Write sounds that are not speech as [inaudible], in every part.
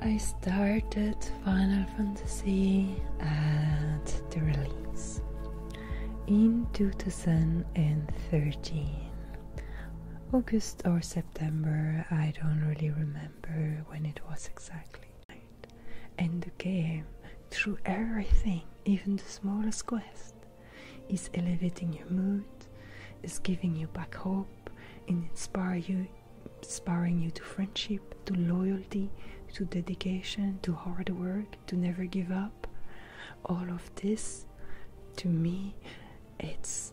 I started Final Fantasy at the release in 2013. August or September, I don't really remember when it was exactly. And the game, through everything, even the smallest quest, is elevating your mood, is giving you back hope, and inspire you inspiring you to friendship to loyalty to dedication to hard work to never give up all of this to me it's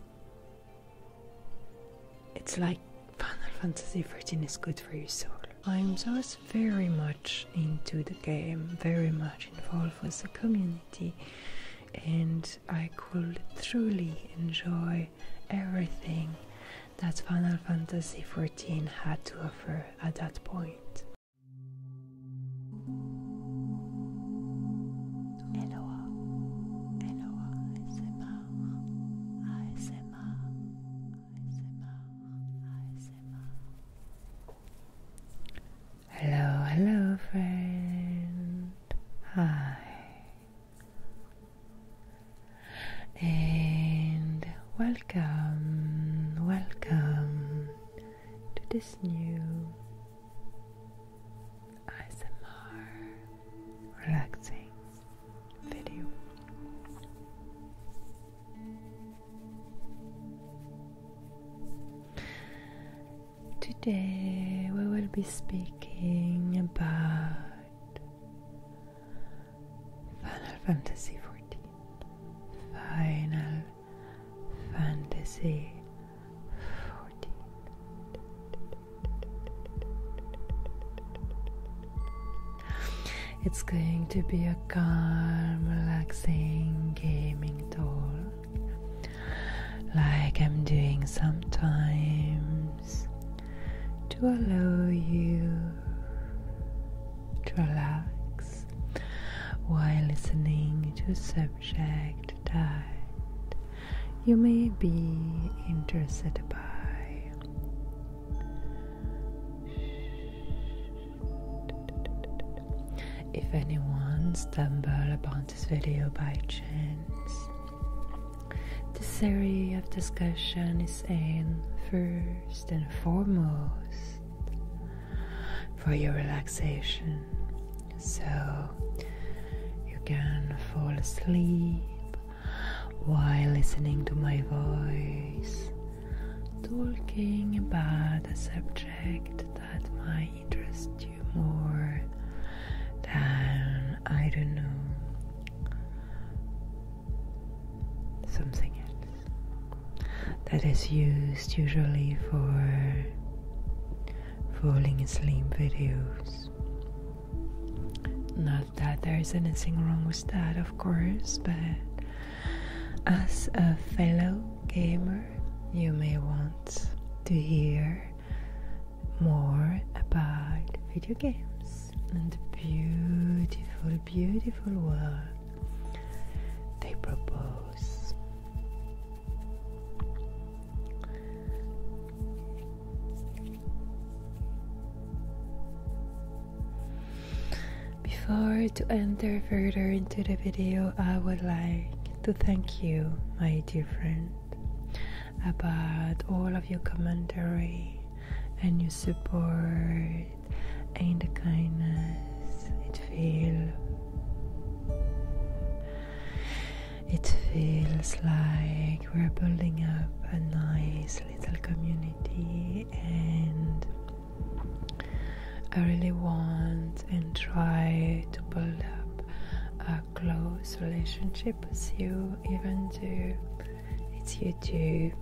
it's like final fantasy 13 is good for your soul i'm just very much into the game very much involved with the community and I could truly enjoy everything that Final Fantasy XIV had to offer at that point. Eloa, Eloa, ASMR, ASMR, ASMR, ASMR. Hello, hello, friend. Hi and welcome, welcome to this new ASMR relaxing video. Today we will be speaking about Final Fantasy XIV. Final Fantasy XIV. It's going to be a calm, relaxing gaming tour like I'm doing sometimes, to allow you to relax while listening to subject that you may be interested by. If anyone stumbles upon this video by chance. This area of discussion is aimed first and foremost for your relaxation, so you can fall asleep while listening to my voice, talking about a subject that might interest you more than I don't know something else that is used usually for falling asleep videos. Not that there's anything wrong with that, of course, but as a fellow gamer, you may want to hear more about video games and the beautiful, beautiful world they propose. Before to enter further into the video, I would like to thank you, my dear friend, about all of your commentary and your support and the kindness it feels it feels like we're building up a nice little community and I really want and try to build up a close relationship with you, even though it's YouTube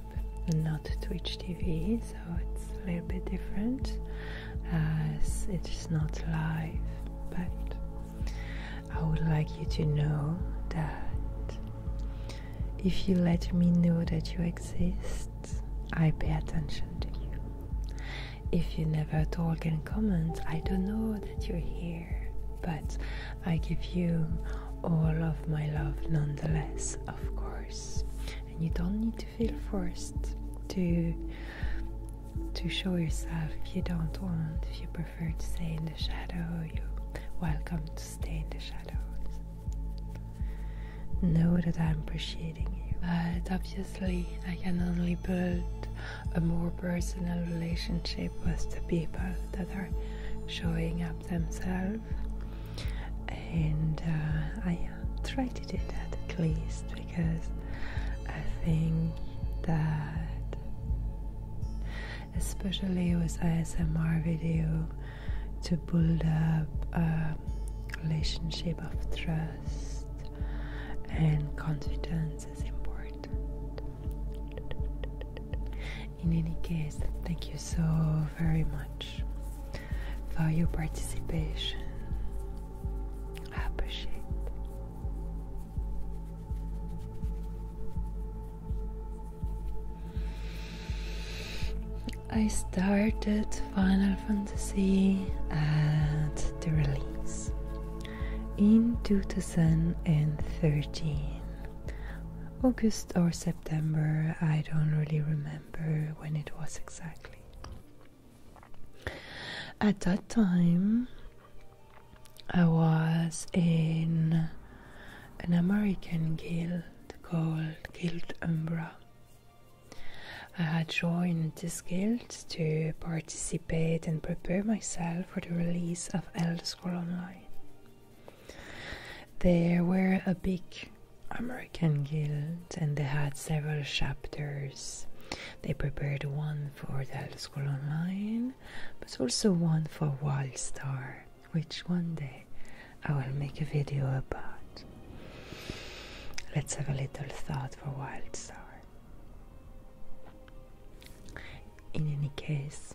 not Twitch TV, so it's a little bit different as it's not live. But I would like you to know that if you let me know that you exist, I pay attention to you. If you never talk and comment, I don't know that you're here, but I give you all of my love nonetheless, of course. And you don't need to feel forced to to show yourself if you don't want, if you prefer to stay in the shadow, you're welcome to stay in the shadows. Know that I'm appreciating you. But obviously I can only build a more personal relationship with the people that are showing up themselves. And uh, I uh, try to do that at least because I think that, especially with ASMR video, to build up a relationship of trust and confidence important. In any case, thank you so very much for your participation. I appreciate I started Final Fantasy at the release in 2013 August or September, I don't really remember when it was exactly. At that time, I was in an American guild called Guild Umbra. I had joined this guild to participate and prepare myself for the release of Elder Scrolls Online. there were a big American guild and they had several chapters. They prepared one for Elder Scrolls Online, but also one for Wildstar, which one day I will make a video about. Let's have a little thought for Wildstar. In any case,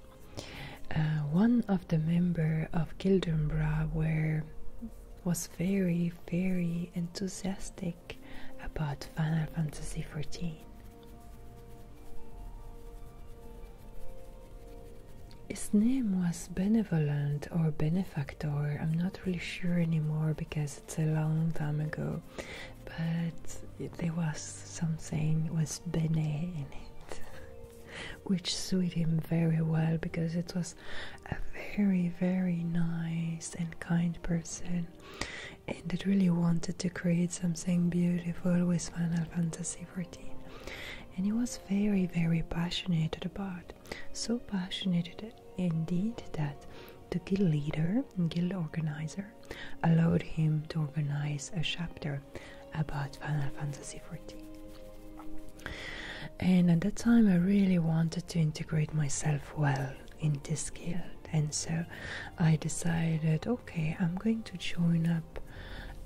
uh, one of the members of Gildenbra were was very, very enthusiastic about Final Fantasy XIV. His name was Benevolent or Benefactor, I'm not really sure anymore because it's a long time ago but there was something was bene in it which suited him very well because it was a very very nice and kind person and it really wanted to create something beautiful with Final Fantasy XIV and he was very very passionate about so passionate indeed that the guild leader guild organizer, allowed him to organize a chapter about Final Fantasy XIV. And at that time, I really wanted to integrate myself well in this guild, and so I decided okay, I'm going to join up.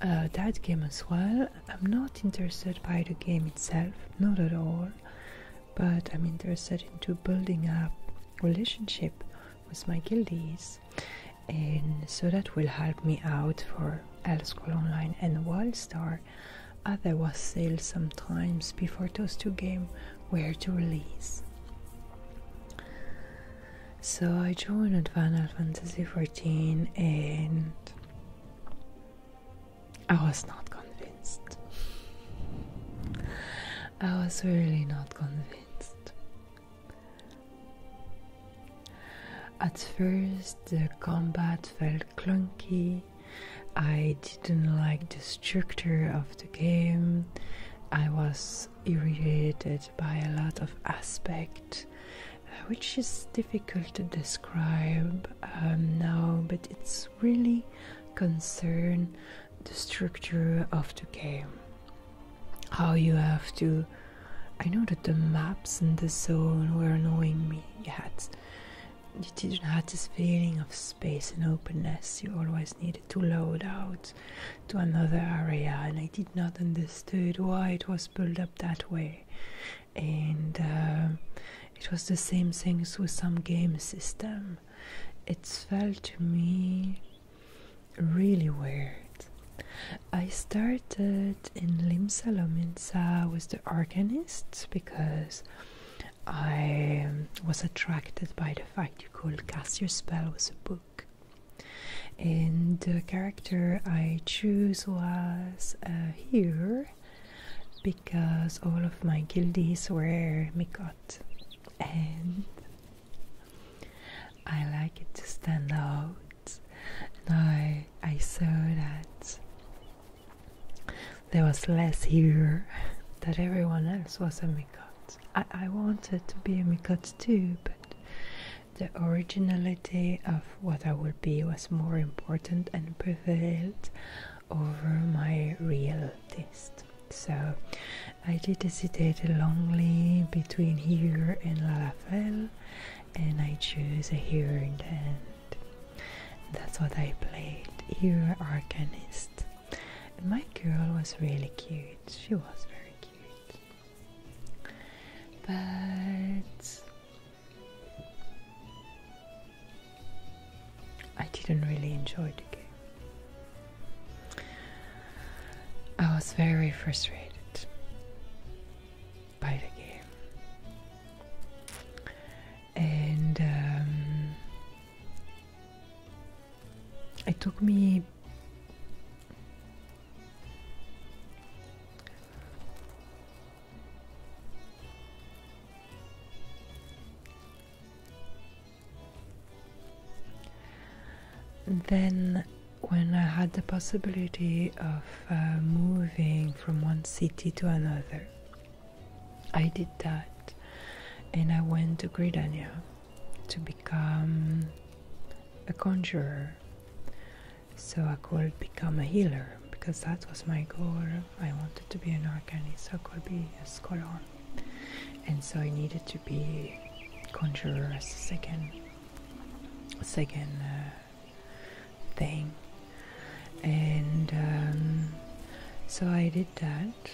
Uh, that game as well. I'm not interested by the game itself, not at all, but I'm interested into building up relationship with my guildies and so that will help me out for L School Online and Wildstar Other was sale sometimes before those two games were to release. So I joined Final Fantasy XIV and I was not convinced. I was really not convinced. At first, the combat felt clunky. I didn't like the structure of the game. I was irritated by a lot of aspects, uh, which is difficult to describe um, now, but it's really concern the structure of the game. How you have to. I know that the maps and the zone were annoying me. You had, you didn't have this feeling of space and openness. You always needed to load out to another area, and I did not understand why it was built up that way. And uh, it was the same things with some game system. It felt to me really weird. I started in Limsa Lominsa with the organist because I was attracted by the fact you could cast your spell with a book. And the character I chose was uh, here because all of my guildies were Mikot. And I like it to stand out, and I I saw that there was less here that everyone else was a Mikot. I, I wanted to be a Mikot too, but the originality of what I would be was more important and prevailed over my real taste. So I did hesitate longly between here and La Lafelle, and I chose here in the end. That's what I played, here Arcanist. And my girl was really cute, she was very cute. But I didn't really enjoy the game. I was very frustrated by the game, and um, it took me. Then, when I had the possibility of uh, moving from one city to another, I did that and I went to Gridania to become a conjurer. So I could become a healer because that was my goal. I wanted to be an arcanist, so I could be a scholar and so I needed to be conjurer as a second second uh, thing and um, so I did that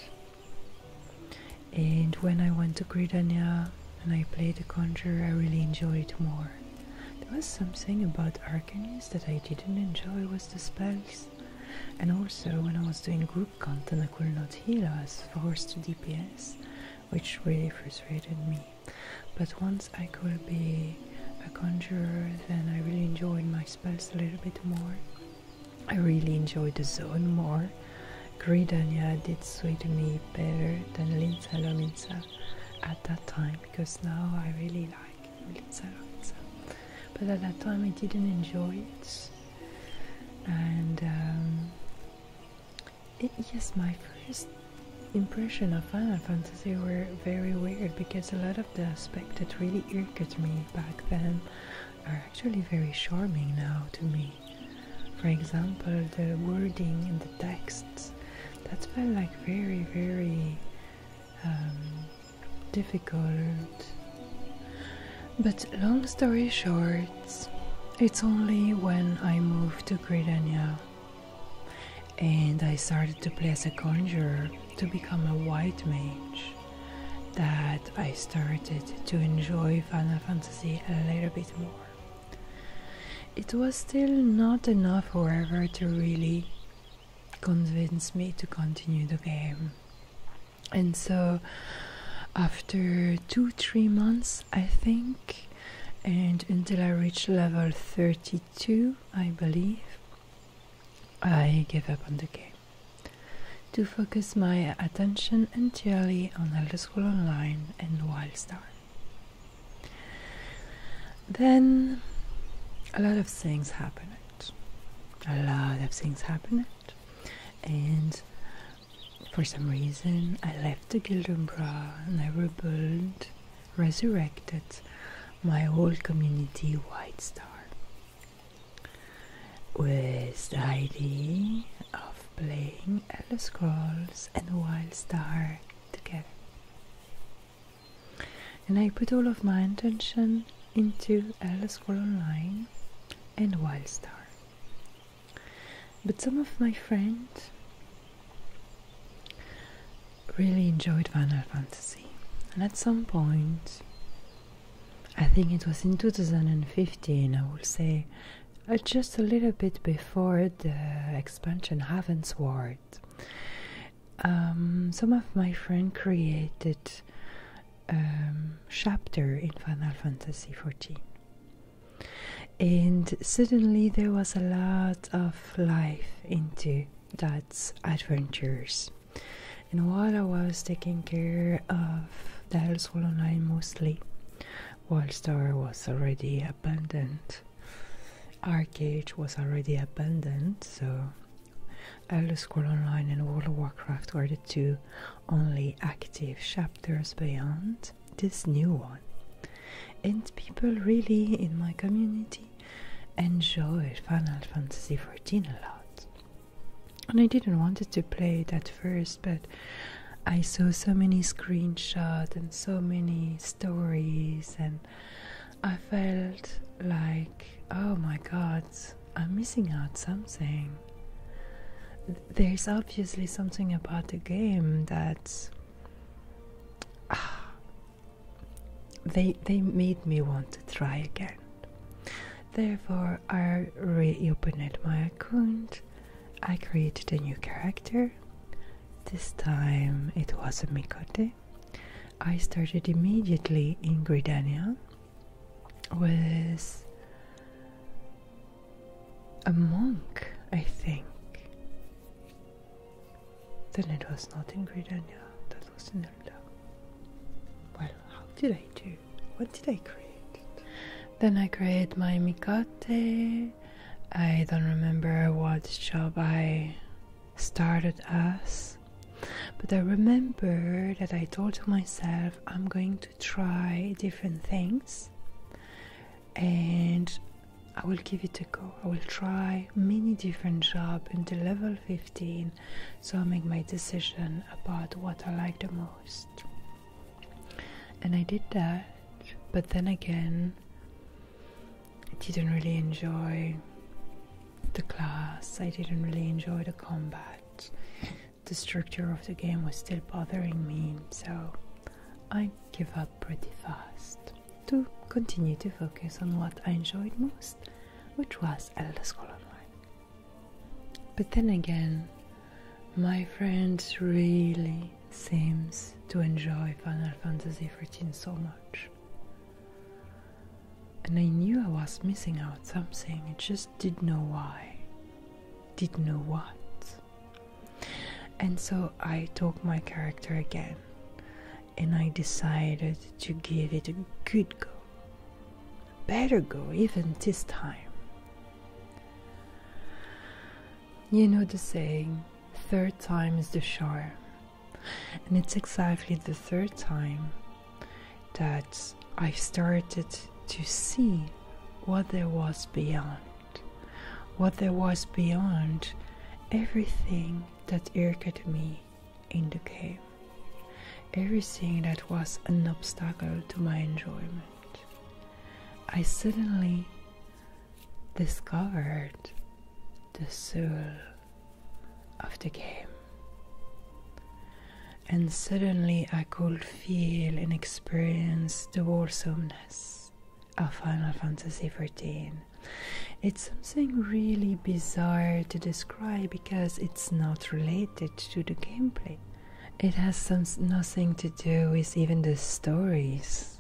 and when I went to Gridania and I played the conjurer I really enjoyed it more there was something about Arcanis that I didn't enjoy was the spells and also when I was doing group Cantona could not heal, us. forced DPS, which really frustrated me. But once I could be a conjurer, then I really enjoyed my spells a little bit more. I really enjoyed the zone more. Gridania did suit me better than Linza Lominza at that time because now I really like Linza Lominza. But at that time I didn't enjoy it and um, yes, my first impression of Final Fantasy were very weird because a lot of the aspects that really irked me back then are actually very charming now to me. For example, the wording in the texts that felt like very, very um, difficult but long story short, it's only when I moved to Gridania and I started to play as a conjurer to become a white mage that I started to enjoy Final Fantasy a little bit more. It was still not enough, however, to really convince me to continue the game and so after two three months i think and until i reached level 32 i believe i gave up on the game to focus my attention entirely on elder scrolls online and wildstar then a lot of things happened a lot of things happened and for some reason I left the Gildumbra and I rebuilt, resurrected my whole community White Star with the idea of playing Elder Scrolls and Wild Star together. And I put all of my intention into Alice for Online and Wildstar. But some of my friends really enjoyed Final Fantasy, and at some point, I think it was in 2015, I would say, uh, just a little bit before the expansion Ravensward. Um, some of my friends created um, chapter in Final Fantasy XIV. And suddenly there was a lot of life into that adventures. And while I was taking care of the Elseworld Online mostly, Wallstar was already abandoned, Arcade was already abandoned, so Elder Scrolls Online and World of Warcraft were the two only active chapters beyond this new one. And people really in my community enjoyed Final Fantasy XIV a lot. And I didn't wanted to play it at first, but I saw so many screenshots and so many stories, and I felt like, oh my god, I'm missing out something. There's obviously something about the game that ah, they they made me want to try again. Therefore, I reopened my account. I created a new character. This time it was a Mikote. I started immediately in Gridania was a monk, I think. Then it was not in Gridania, that was in Elda. Well, how did I do? What did I create? Then I created my Mikate. I don't remember what job I started as, but I remember that I told myself I'm going to try different things and I will give it a go. I will try many different jobs until level 15 so I make my decision about what I like the most. And I did that, but then again, I didn't really enjoy the class, I didn't really enjoy the combat the structure of the game was still bothering me, so I gave up pretty fast to continue to focus on what I enjoyed most, which was Elder Scrolls Online. But then again, my friend really seems to enjoy Final Fantasy XIV so much. And I knew I was missing out something, it just didn't know why, did not know what. And so I took my character again and I decided to give it a good go. Better go, even this time. You know the saying, third time is the charm. And it's exactly the third time that I started to see what there was beyond. What there was beyond everything that irked me in the game, Everything that was an obstacle to my enjoyment. I suddenly discovered the soul of the game. And suddenly I could feel and experience the awesomeness of Final Fantasy XIV. It's something really bizarre to describe because it's not related to the gameplay. It has nothing to do with even the stories.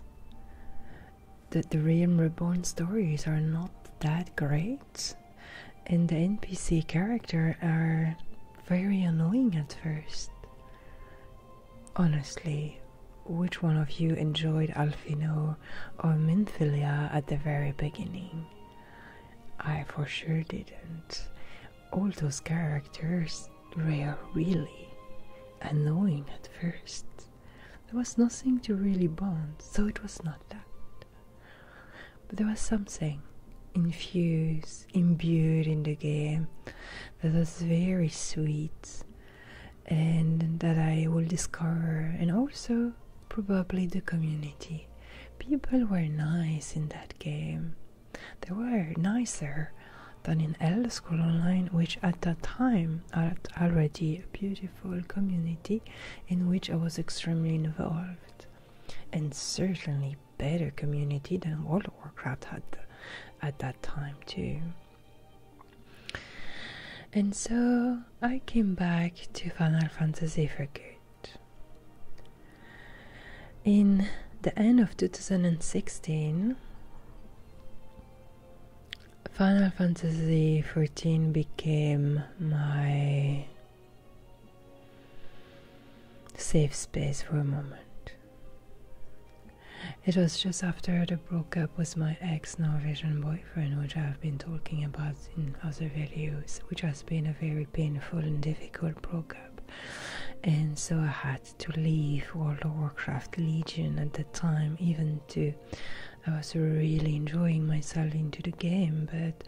The, the Realm Reborn stories are not that great and the NPC character are very annoying at first. Honestly, which one of you enjoyed Alfino or Minthilia at the very beginning? I for sure didn't. All those characters were really annoying at first. There was nothing to really bond, so it was not that. But there was something infused, imbued in the game that was very sweet and that I will discover, and also probably the community. People were nice in that game. They were nicer than in Elder School Online, which at that time had already a beautiful community in which I was extremely involved and certainly better community than World of Warcraft had at that time too. And so I came back to Final Fantasy for good. In the end of 2016, Final Fantasy fourteen became my safe space for a moment. It was just after the breakup with my ex Norwegian boyfriend, which I've been talking about in other videos, which has been a very painful and difficult breakup. And so I had to leave World of Warcraft Legion at the time, even though I was really enjoying myself into the game, but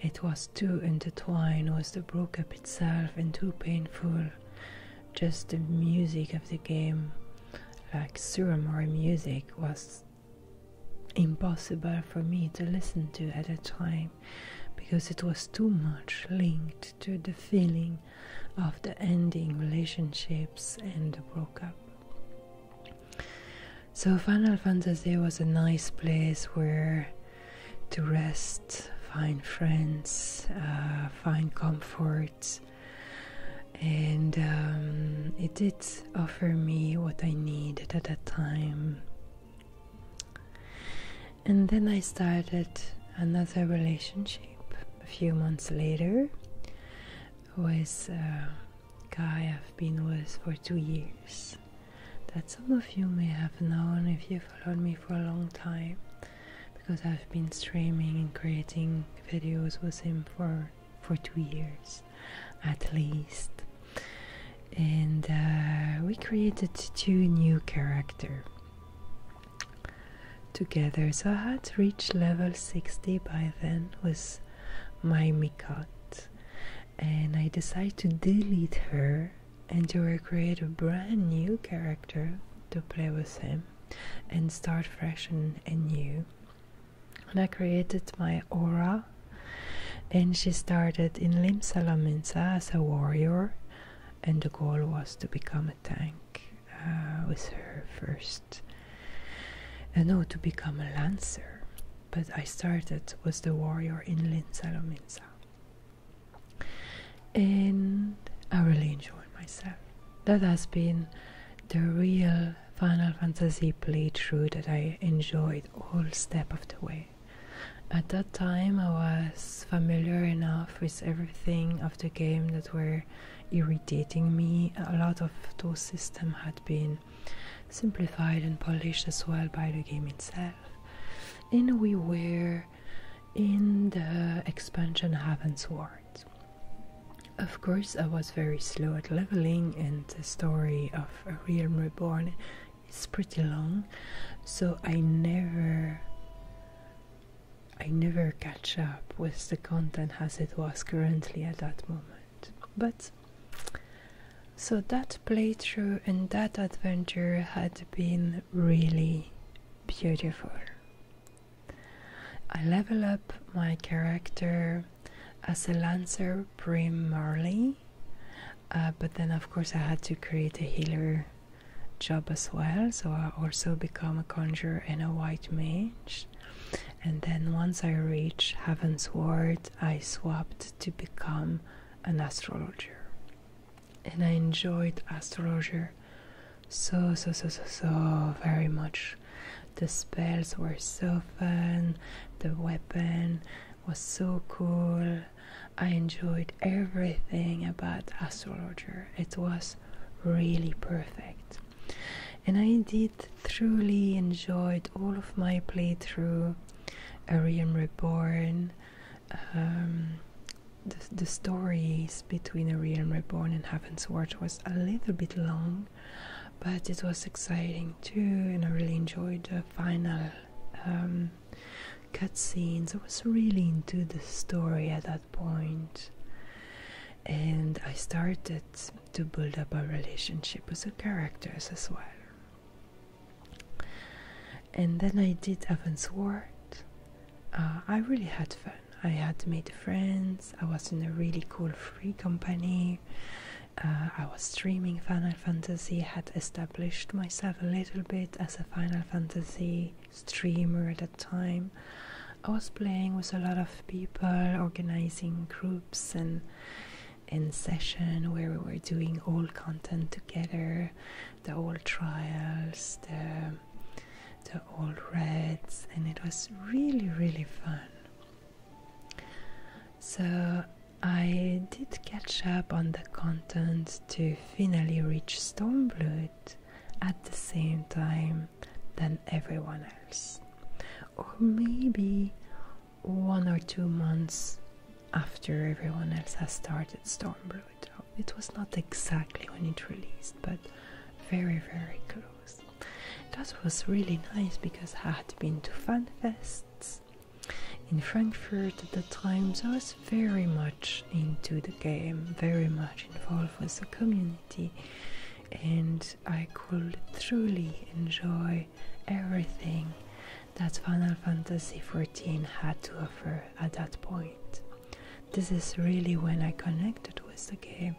it was too intertwined with the breakup itself and too painful. Just the music of the game, like Suramori music, was impossible for me to listen to at a time because it was too much linked to the feeling of the ending relationships and the broke up. So Final Fantasy was a nice place where to rest, find friends, uh, find comfort. And um, it did offer me what I needed at that time. And then I started another relationship a few months later with a guy I've been with for two years that some of you may have known if you followed me for a long time because I've been streaming and creating videos with him for for two years at least and uh, we created two new character together so I had reached level 60 by then with my Mikot and I decided to delete her and to will create a brand new character to play with him and start fresh and, and new. And I created my aura, and she started in Limsala as a warrior, and the goal was to become a tank uh, with her first. And uh, no, to become a lancer. But I started with the warrior in Linsalomins. And I really enjoyed myself. That has been the real Final Fantasy playthrough that I enjoyed all step of the way. At that time, I was familiar enough with everything of the game that were irritating me. A lot of those systems had been simplified and polished as well by the game itself and we were in the expansion Heaven's Ward. Of course, I was very slow at leveling, and the story of a Realm Reborn is pretty long, so I never. I never catch up with the content as it was currently at that moment. But so that playthrough and that adventure had been really beautiful. I level up my character as a Lancer primarily, uh, but then of course I had to create a healer job as well, so I also become a conjurer and a white mage. And then once I reach Heaven's Ward, I swapped to become an astrologer. And I enjoyed astrologer so, so, so, so, so very much. The spells were so fun, the weapon was so cool. I enjoyed everything about astrologer. It was really perfect. And I did truly enjoyed all of my playthrough Arium Reborn, um, the, stories between Arium Reborn and Heaven's Word was a little bit long, but it was exciting too, and I really enjoyed the final um, cutscenes. I was really into the story at that point, and I started to build up a relationship with the characters as well. And then I did Avonsward. Uh, I really had fun. I had made friends. I was in a really cool free company. Uh, I was streaming Final Fantasy, had established myself a little bit as a Final Fantasy streamer at that time. I was playing with a lot of people, organizing groups, and in session where we were doing all content together, the old trials, the the all reds, and it was really really fun. So I did catch up on the content to finally reach Stormblood at the same time than everyone else. Or maybe one or two months after everyone else has started Storm Stormbrood. It was not exactly when it released, but very, very close. That was really nice because I had been to fanfests in Frankfurt at the time, so I was very much into the game, very much involved with the community, and I could truly enjoy everything that Final Fantasy XIV had to offer at that point. This is really when I connected with the game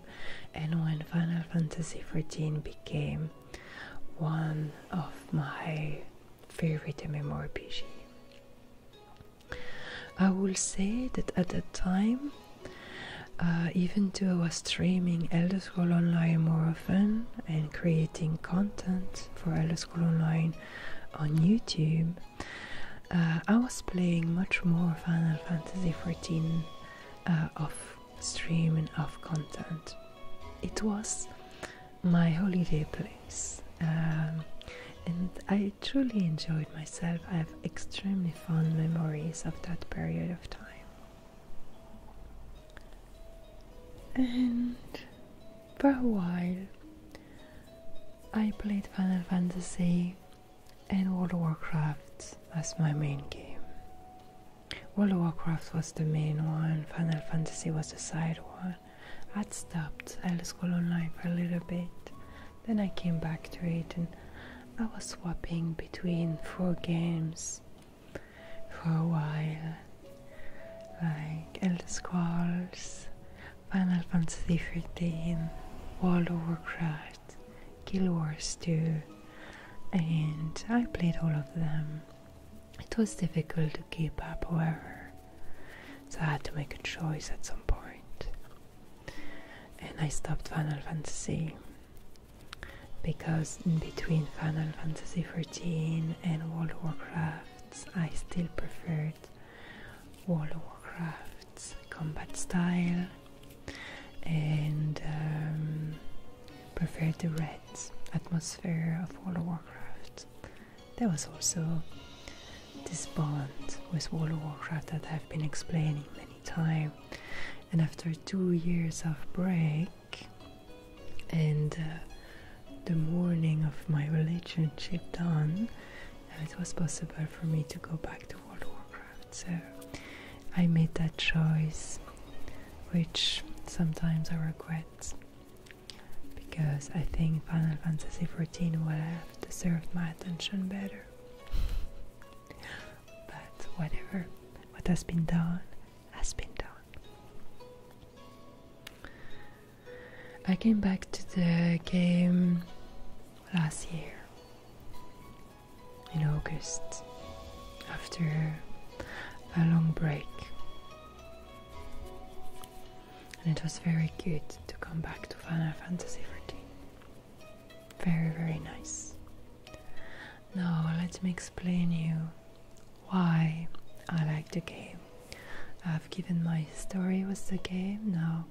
and when Final Fantasy XIV became one of my favorite MMORPG. I will say that at that time, uh, even though I was streaming Elder Scrolls Online more and creating content for LO School Online on YouTube, uh, I was playing much more Final Fantasy XIV uh, off stream and off content. It was my holiday place, um, and I truly enjoyed myself. I have extremely fond memories of that period of time. And for a while. I played Final Fantasy and World of Warcraft as my main game. World of Warcraft was the main one, Final Fantasy was the side one. I'd stopped Elder Scrolls Online for a little bit, then I came back to it and I was swapping between four games for a while, like Elder Scrolls, Final Fantasy XIV, World of Warcraft, Guild Wars 2, and I played all of them. It was difficult to keep up, however, so I had to make a choice at some And I stopped Final Fantasy because in between Final Fantasy 14 and World of Warcraft, I still preferred World of Warcraft's combat style and um, preferred the red atmosphere of World of Warcraft. There was also this bond with World of Warcraft that I've been explaining many times. And after two years of break, and uh, the morning of my relationship done, it was possible for me to go back to World of Warcraft. So I made that choice, which sometimes I regret because I think Final Fantasy XIV would have deserved my attention better. [laughs] But whatever, what has been done has been done. I came back to the game last year in August after a long break, and it was very good to come back to Final Fantasy XIV. Very, very nice. Now, let me explain you why I like the game. I've given my story with the game, now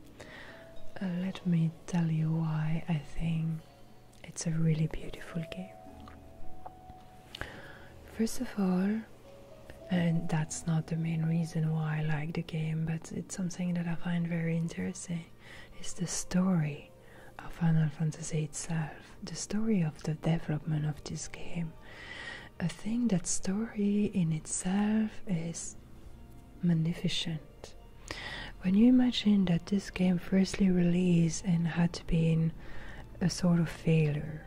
uh, let me tell you why I think it's a really beautiful game. First of all, and that's not the main reason why I like the game, but it's something that I find very interesting, is the story of Final Fantasy itself the story of the development of this game. a thing that story in itself is magnificent. When you imagine that this game firstly released and had been a sort of failure,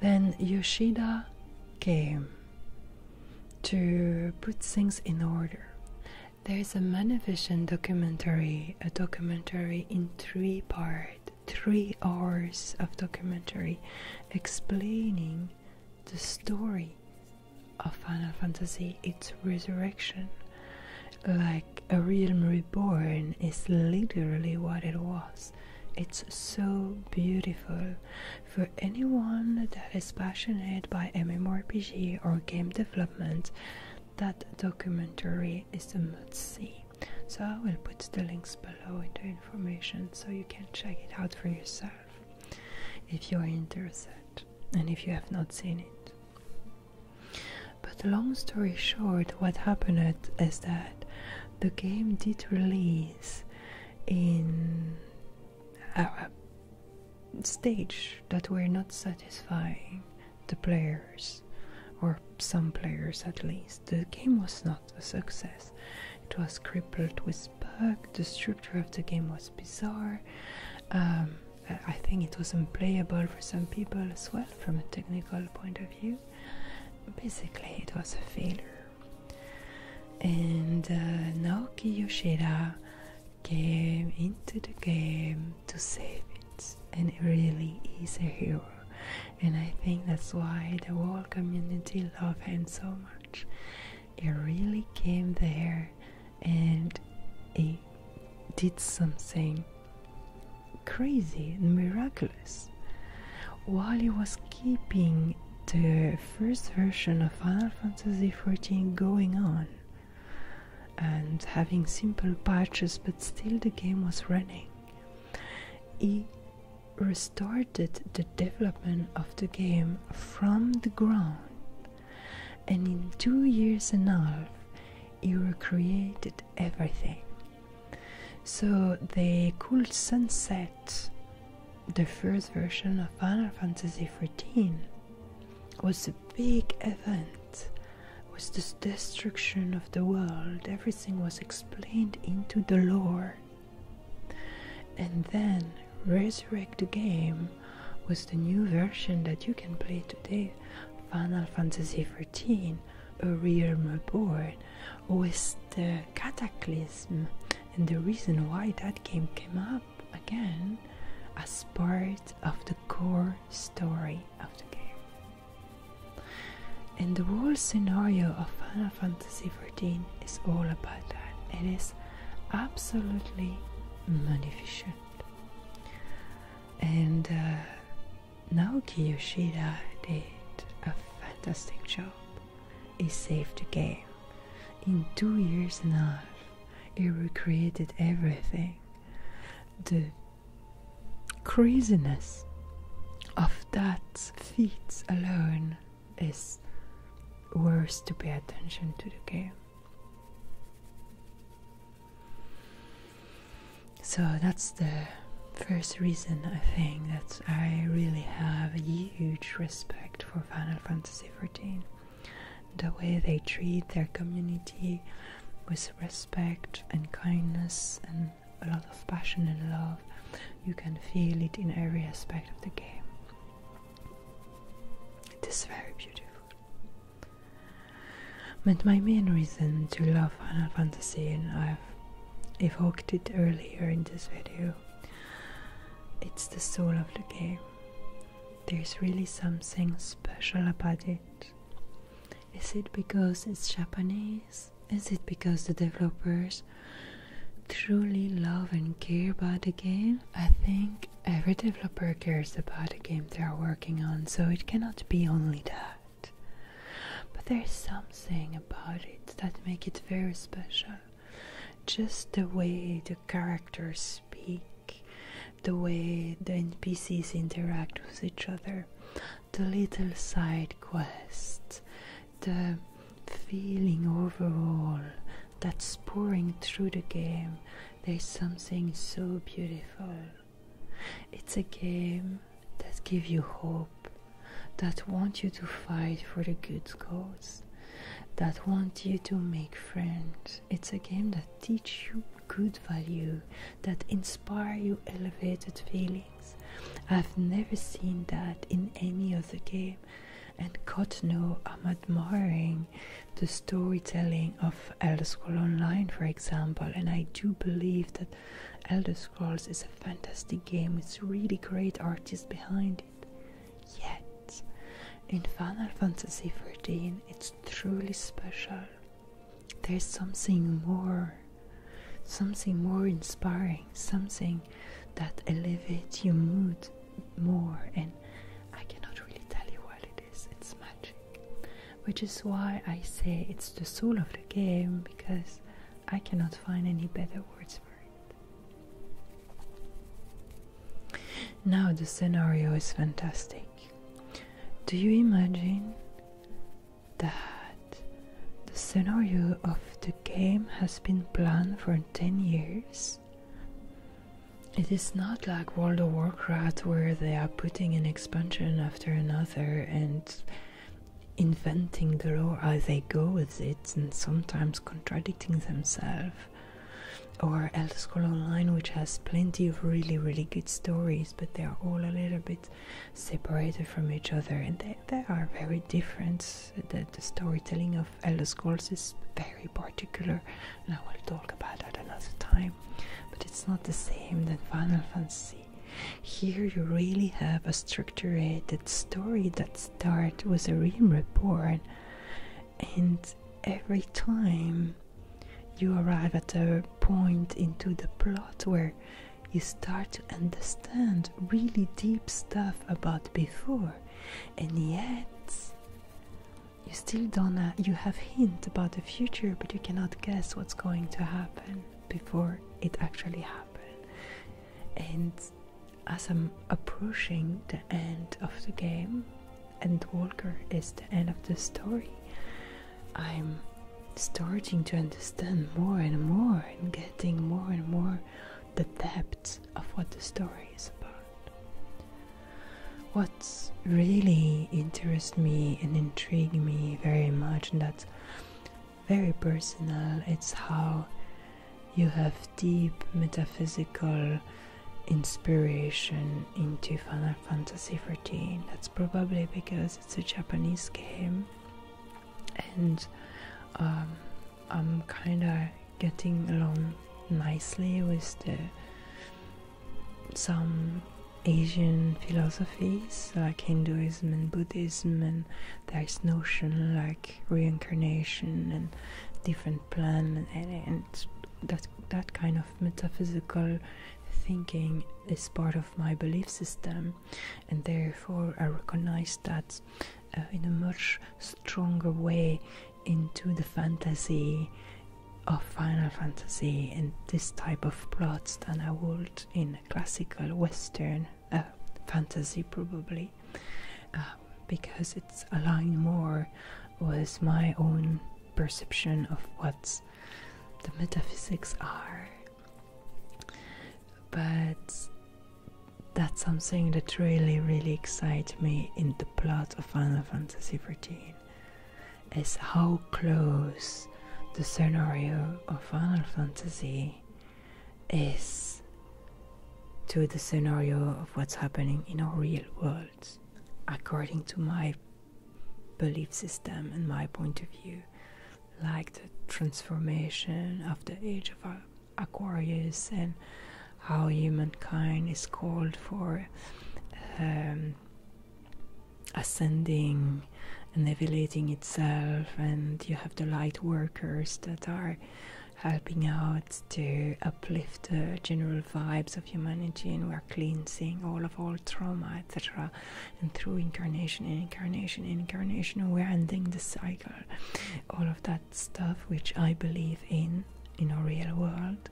then Yoshida came to put things in order. There is a magnificent documentary, a documentary in three parts three hours of documentary explaining the story of Final Fantasy, its resurrection. Like a realm reborn is literally what it was. It's so beautiful. For anyone that is passionate by MMORPG or game development, that documentary is a must see. So I will put the links below in the information so you can check it out for yourself if you are interested and if you have not seen it. But long story short, what happened is that the game did release in a stage that were not satisfying the players, or some players at least. The game was not a success. It was crippled with bugs. The structure of the game was bizarre. Um, I think it was unplayable for some people as well, from a technical point of view. Basically, it was a failure. And uh, Naoki Yoshida came into the game to save it, and he really is a hero and I think that's why the whole community loved him so much. He really came there and he did something crazy and miraculous. While he was keeping the first version of Final Fantasy XIV going on and having simple patches, but still the game was running. He restarted the development of the game from the ground, and in two years and a half, he recreated everything. So the cool sunset the first version of Final Fantasy XIV. Was a big event was the destruction of the world. Everything was explained into the lore. And then Resurrect the Game was the new version that you can play today. Final Fantasy XIV, A Realm Reborn, was the Cataclysm. And the reason why that game came up again as part of the core story of the game. And the whole scenario of Final Fantasy XIV is all about that. It is absolutely magnificent. And uh, Naoki Yoshida did a fantastic job. He saved the game. In two years and a half, he recreated everything. The craziness of that feat alone is worth to pay attention to the game. So that's the first reason I think that I really have a huge respect for Final Fantasy XIV. The way they treat their community with respect and kindness and a lot of passion and love. You can feel it in every aspect of the game. It is very beautiful. But my main reason to love Final Fantasy, and I've evoked it earlier in this video, it's the soul of the game. There's really something special about it. Is it because it's Japanese? Is it because the developers truly love and care about the game? I think every developer cares about the game they are working on, so it cannot be only that. But there's something about it that makes it very special. Just the way the characters speak, the way the NPCs interact with each other, the little side quests, the feeling overall that's pouring through the game. There's something so beautiful. It's a game that gives you hope, that wants you to fight for the good cause, that wants you to make friends. It's a game that teaches you good value that inspire you elevated feelings. I've never seen that in any other game, and God knows I'm admiring the storytelling of Elder Scrolls Online, for example, and I do believe that Elder Scrolls is a fantastic game with really great artists behind it. Yet, in Final Fantasy 14, it's truly special there's something more, something more inspiring, something that elevates your mood more. And I cannot really tell you what it is, it's magic, which is why I say it's the soul of the game because I cannot find any better words for it. Now, the scenario is fantastic. Do you imagine that the scenario of the game has been planned for 10 years. It is not like World of Warcraft where they are putting an expansion after another and inventing the lore as they go with it and sometimes contradicting themselves. Or Elder Scrolls Online, which has plenty of really, really good stories, but they are all a little bit separated from each other, and they, are very different. The, the storytelling of Elder Scrolls is very particular, and I will talk about that another time. But it's not the same than Final Fantasy. Here you really have a structured story that starts with a realm report, and every time you arrive at a point into the plot where you start to understand really deep stuff about before and yet you still don't uh, you have hint about the future but you cannot guess what's going to happen before it actually happened and as i'm approaching the end of the game and walker is the end of the story I'm starting to understand more and more and getting more and more the depth of what the story is about. What's really interest me and intrigue me very much, and that's very personal, it's how you have deep metaphysical inspiration into Final Fantasy XIV. That's probably because it's a Japanese game, and um, I'm kind of getting along nicely with the some Asian philosophies like Hinduism and Buddhism, and there's notion like reincarnation and different plan and, and that that kind of metaphysical thinking is part of my belief system, and therefore I recognize that uh, in a much stronger way into the fantasy of Final Fantasy and this type of plots than I would in classical Western uh, fantasy, probably, um, because it's aligned more with my own perception of what the metaphysics are but that's something that really, really excites me in the plot of Final Fantasy 14, is how close the scenario of Final Fantasy is to the scenario of what's happening in our real world, according to my belief system, and my point of view, like the transformation of the age of Aquarius and how humankind is called for um, ascending and elevating itself, and you have the light workers that are helping out to uplift the general vibes of humanity, and we're cleansing all of all trauma, etc and through incarnation and incarnation and incarnation we're ending the cycle all of that stuff which i believe in in our real world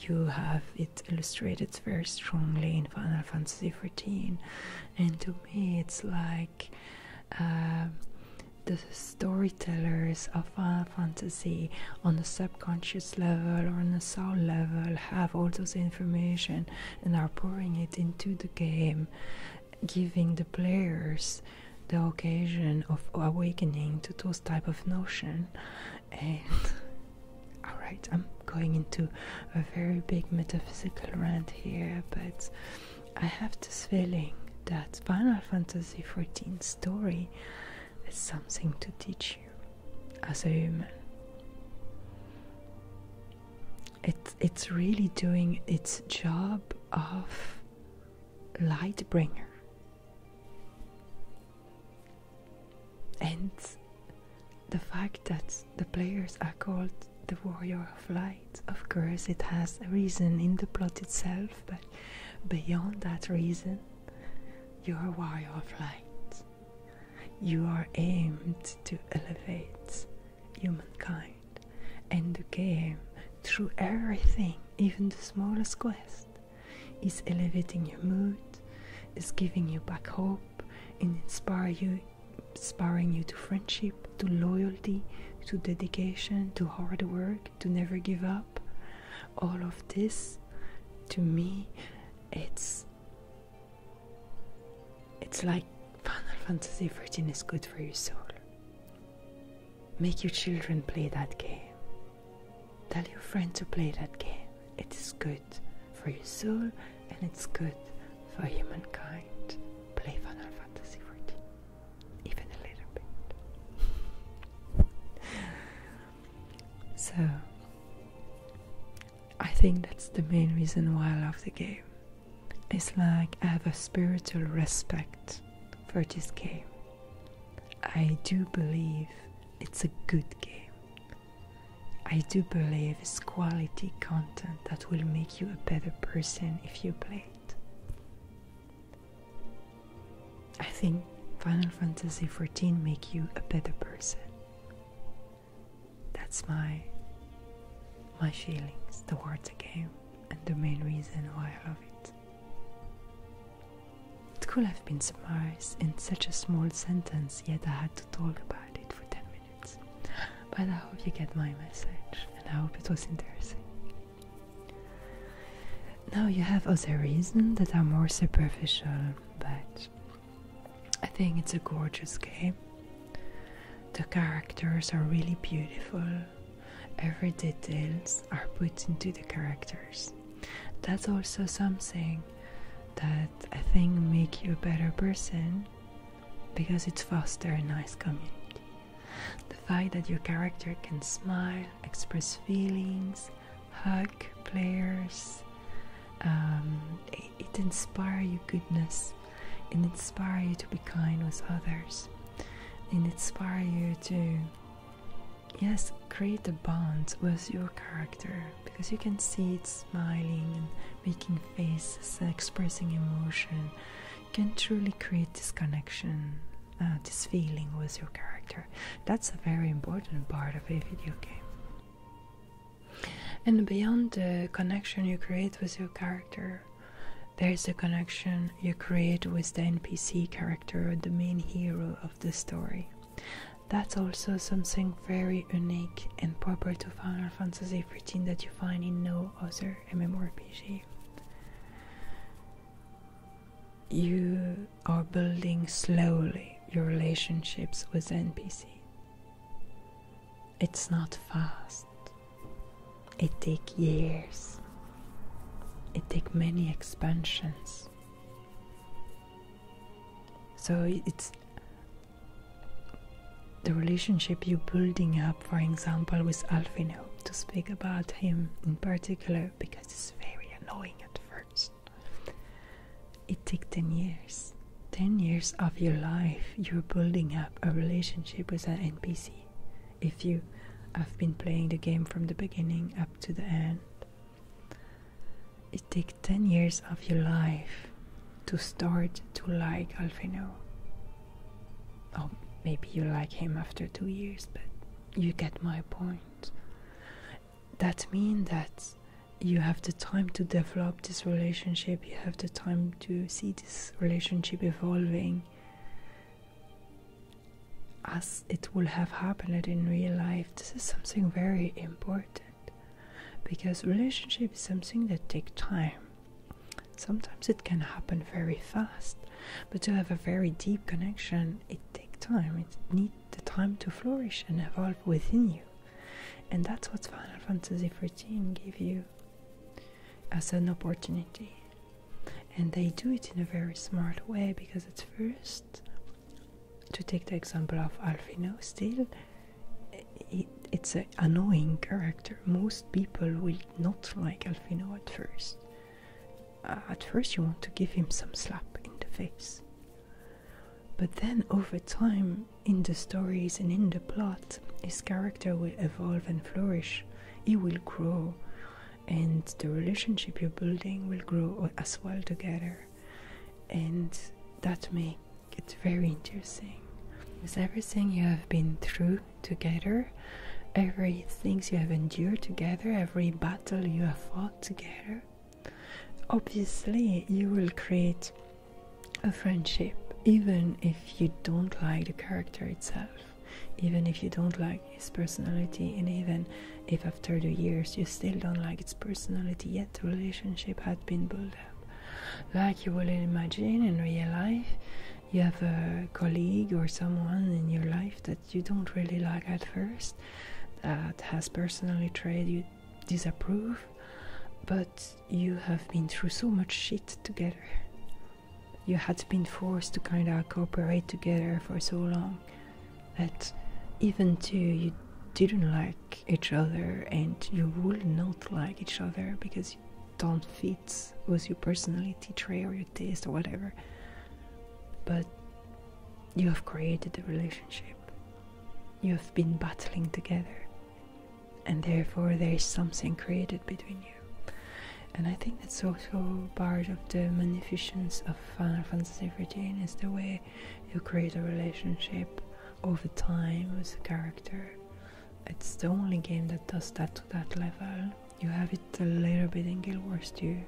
you have it illustrated very strongly in final fantasy XIV and to me it's like uh, the storytellers of Final Fantasy on the subconscious level or on the soul level have all those information and are pouring it into the game, giving the players the occasion of awakening to those type of notion. And [laughs] all right, I'm going into a very big metaphysical rant here, but I have this feeling that Final Fantasy XIV story is something to teach you as a human. It, it's really doing its job of light bringer. And the fact that the players are called the Warrior of Light, of course, it has a reason in the plot itself, but beyond that reason, you're a Warrior of Light. You are aimed to elevate humankind and the game through everything, even the smallest quest, is elevating your mood, is giving you back hope and inspire you inspiring you to friendship, to loyalty, to dedication, to hard work, to never give up. All of this to me it's it's like Final Fantasy XIV is good for your soul. Make your children play that game. Tell your friend to play that game. It is good for your soul and it's good for humankind. Play Final Fantasy XIV. Even a little bit. [laughs] so I think that's the main reason why I love the game. It's like I have a spiritual respect for this game. I do believe it's a good game. I do believe it's quality content that will make you a better person if you play it. I think Final Fantasy XIV make you a better person. That's my my feelings towards the game and the main reason why I love it. It could have been summarized in such a small sentence, yet I had to talk about it for 10 minutes. But I hope you get my message, and I hope it was interesting. Now you have other reasons that are more superficial, but I think it's a gorgeous game. The characters are really beautiful. Every details are put into the characters. That's also something that I think make you a better person because it foster a nice community. The fact that your character can smile, express feelings, hug players, um, it inspire you goodness it inspire you to be kind with others it inspire you to yes create a bond with your character because you can see it smiling and making faces expressing emotion you can truly create this connection uh, this feeling with your character that's a very important part of a video game and beyond the connection you create with your character, there is a connection you create with the NPC character, the main hero of the story. That's also something very unique and proper to Final Fantasy XIV that you find in no other MMORPG. You are building slowly your relationships with NPC. It's not fast. It takes years. It takes many expansions. So it's the relationship you're building up, for example, with Alfino, to speak about him in particular, because it's very annoying at first. It took 10 years. 10 years of your life, you're building up a relationship with an NPC. If you have been playing the game from the beginning up to the end, it took 10 years of your life to start to like Alfino. Or oh, maybe you like him after two years, but you get my point. That means that you have the time to develop this relationship, you have the time to see this relationship evolving as it will have happened in real life. This is something very important because relationship is something that takes time. Sometimes it can happen very fast, but to have a very deep connection, it takes time. It need the time to flourish and evolve within you. And that's what Final Fantasy XIV gave you as an opportunity. And they do it in a very smart way because at first, to take the example of Alfino, still, it's an annoying character. Most people will not like Alfino at first. Uh, at first, you want to give him some slap in the face. But then over time, in the stories and in the plot, his character will evolve and flourish. He will grow, and the relationship you're building will grow as well together. And that makes it very interesting. With everything you have been through together, every things you have endured together, every battle you have fought together, Obviously, you will create a friendship even if you don't like the character itself, even if you don't like his personality, and even if after the years you still don't like its personality, yet the relationship had been built up. Like you will imagine in real life, you have a colleague or someone in your life that you don't really like at first that has personally tried you disapprove, but you have been through so much shit together. You had been forced to kind of cooperate together for so long that even though you didn't like each other and you would not like each other because you don't fit with your personality trait or your taste or whatever, but you have created a relationship you have been battling together, and therefore there is something created between you. And I think that's also part of the magnificence of Final Fantasy XIV is the way you create a relationship over time with a character. It's the only game that does that to that level. You have it a little bit in Guild Wars 2,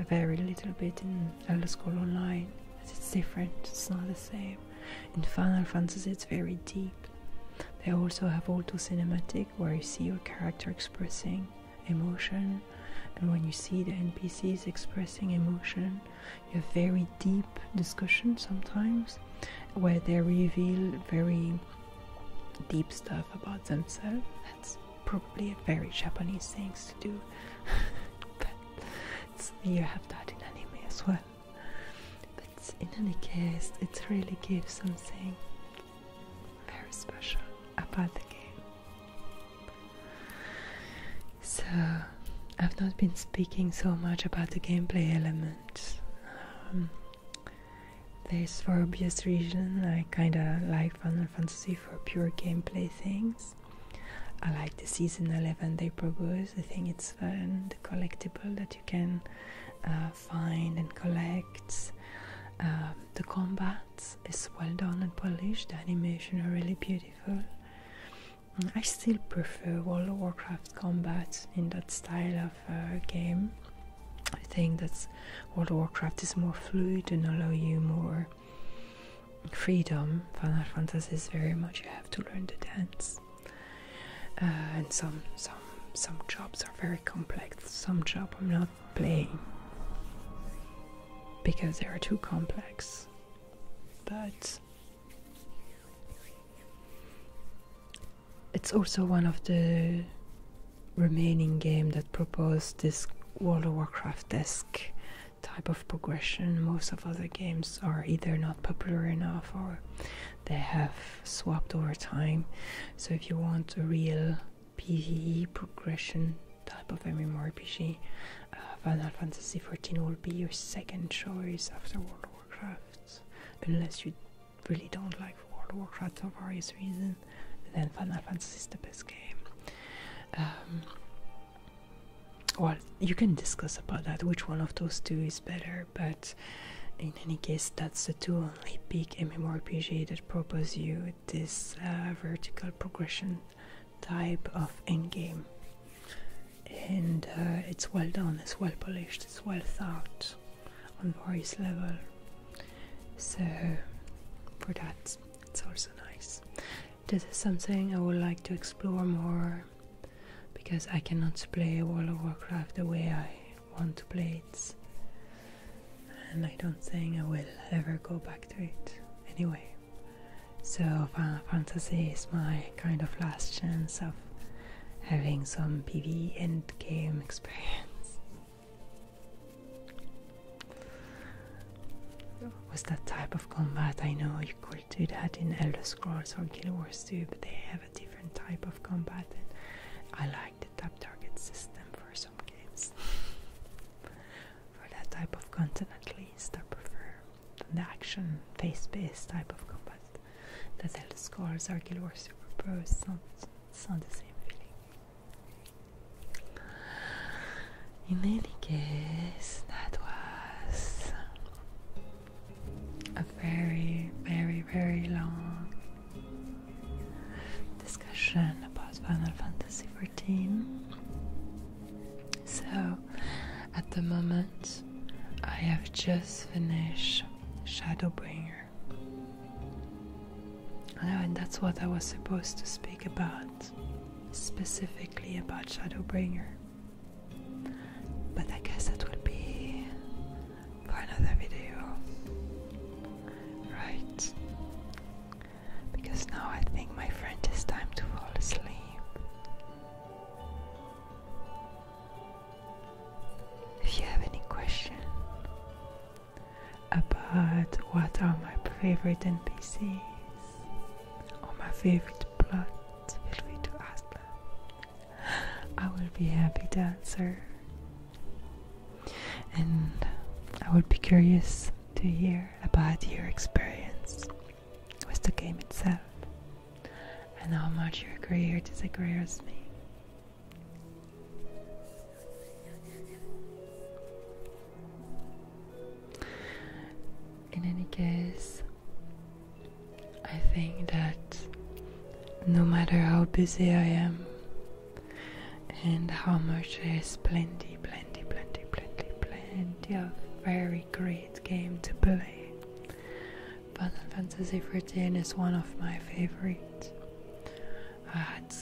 a very little bit in Elder Scrolls Online. but It's different, it's not the same. In Final Fantasy, it's very deep. They also have auto cinematic where you see your character expressing emotion, and when you see the NPCs expressing emotion, you have very deep discussions sometimes where they reveal very deep stuff about themselves. That's probably a very Japanese thing to do. [laughs] but you have that in anime as well. But in any case, it really gives something very special about the game. So, I've not been speaking so much about the gameplay elements. Um, this for obvious reason, I kinda like Final Fantasy for pure gameplay things. I like the season 11 they propose. I think it's fun, the collectible that you can uh, find and collect. Uh, the combat is well done and polished, the animation are really beautiful. Mm, I still prefer World of Warcraft combat in that style of uh, game. I think that World of Warcraft is more fluid and allow you more freedom, Final Fantasy is very much you have to learn the dance. Uh, and some some some jobs are very complex. Some job I'm not playing because they are too complex. But it's also one of the remaining game that proposed this World of Warcraft esque type of progression. Most of other games are either not popular enough or they have swapped over time. So if you want a real PvE progression type of MMORPG, uh, Final Fantasy XIV will be your second choice after World of Warcraft, unless you really don't like World of Warcraft for various reasons. Then Final Fantasy is the best game. Um, well you can discuss about that which one of those two is better but in any case that's the two only big MMORPG that propose you this uh, vertical progression type of endgame and uh, it's well done it's well polished it's well thought on various level so for that it's also nice this is something I would like to explore more because I cannot play World of Warcraft the way I want to play it, and I don't think I will ever go back to it anyway. So, Final Fantasy is my kind of last chance of having some PvE end game [laughs] experience. Was that type of combat I know could do that in Elder Scrolls or Guild Wars 2, but they have a different type of combat, and I like the tap target system for some games. [laughs] for that type of content, at least, I prefer the action face-based type of combat that Elder Scrolls or Guild Wars 2 propose. It's it's not the same feeling. In any case, that was a very, very, very long discussion about Final Fantasy XIV. So, at the moment, I have just finished Shadowbringer. Oh, and that's what I was supposed to speak about, specifically about Shadowbringer. But I guess that will be for another video. Right. Because now I think my friend it's time to fall asleep. If you have any question about what are my favorite NPCs or my favorite plot, feel free to ask them. I will be happy dancer, And I will be curious to hear about your experience with the game itself and how much you agree or disagree with me. In any case, I think that no matter how busy I am and how much there's plenty, plenty, plenty, plenty, plenty of very great game to play, Final Fantasy XIV is one of my favorite. I had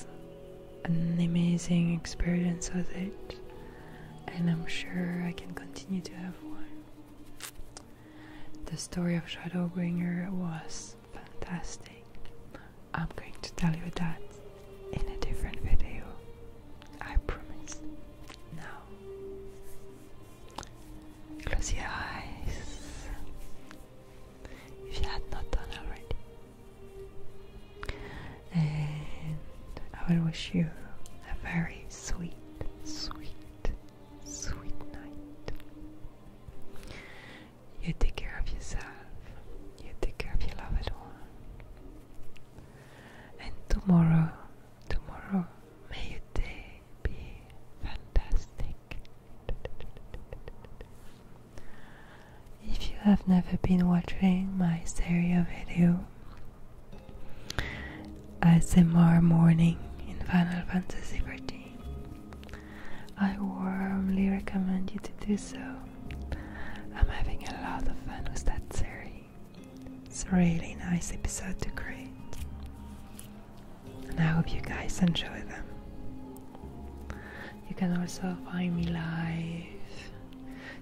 an amazing experience with it and I'm sure I can continue to have one. The story of Shadowbringer was fantastic. I'm going to tell you that in a different video. I promise. Now, close your eyes if you had not done already and I will wish you a very sweet, sweet, sweet night. You take care of yourself, you take care of your loved one, and tomorrow, tomorrow, may your day be fantastic. If you have never been watching my stereo video, as ASMR morning in Final Fantasy XIV. I warmly recommend you to do so. I'm having a lot of fun with that series. It's a really nice episode to create. And I hope you guys enjoy them. You can also find me live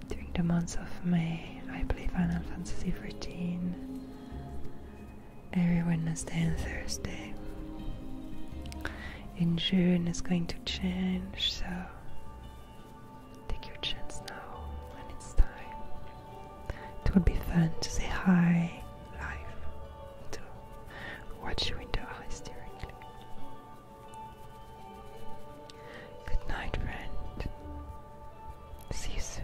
during the month of May, I play Final Fantasy XIV every Wednesday and Thursday. In June, it's going to change, so take your chance now when it's time. It would be fun to say hi live, to watch you in the eyes directly. Good night, friend. See you soon.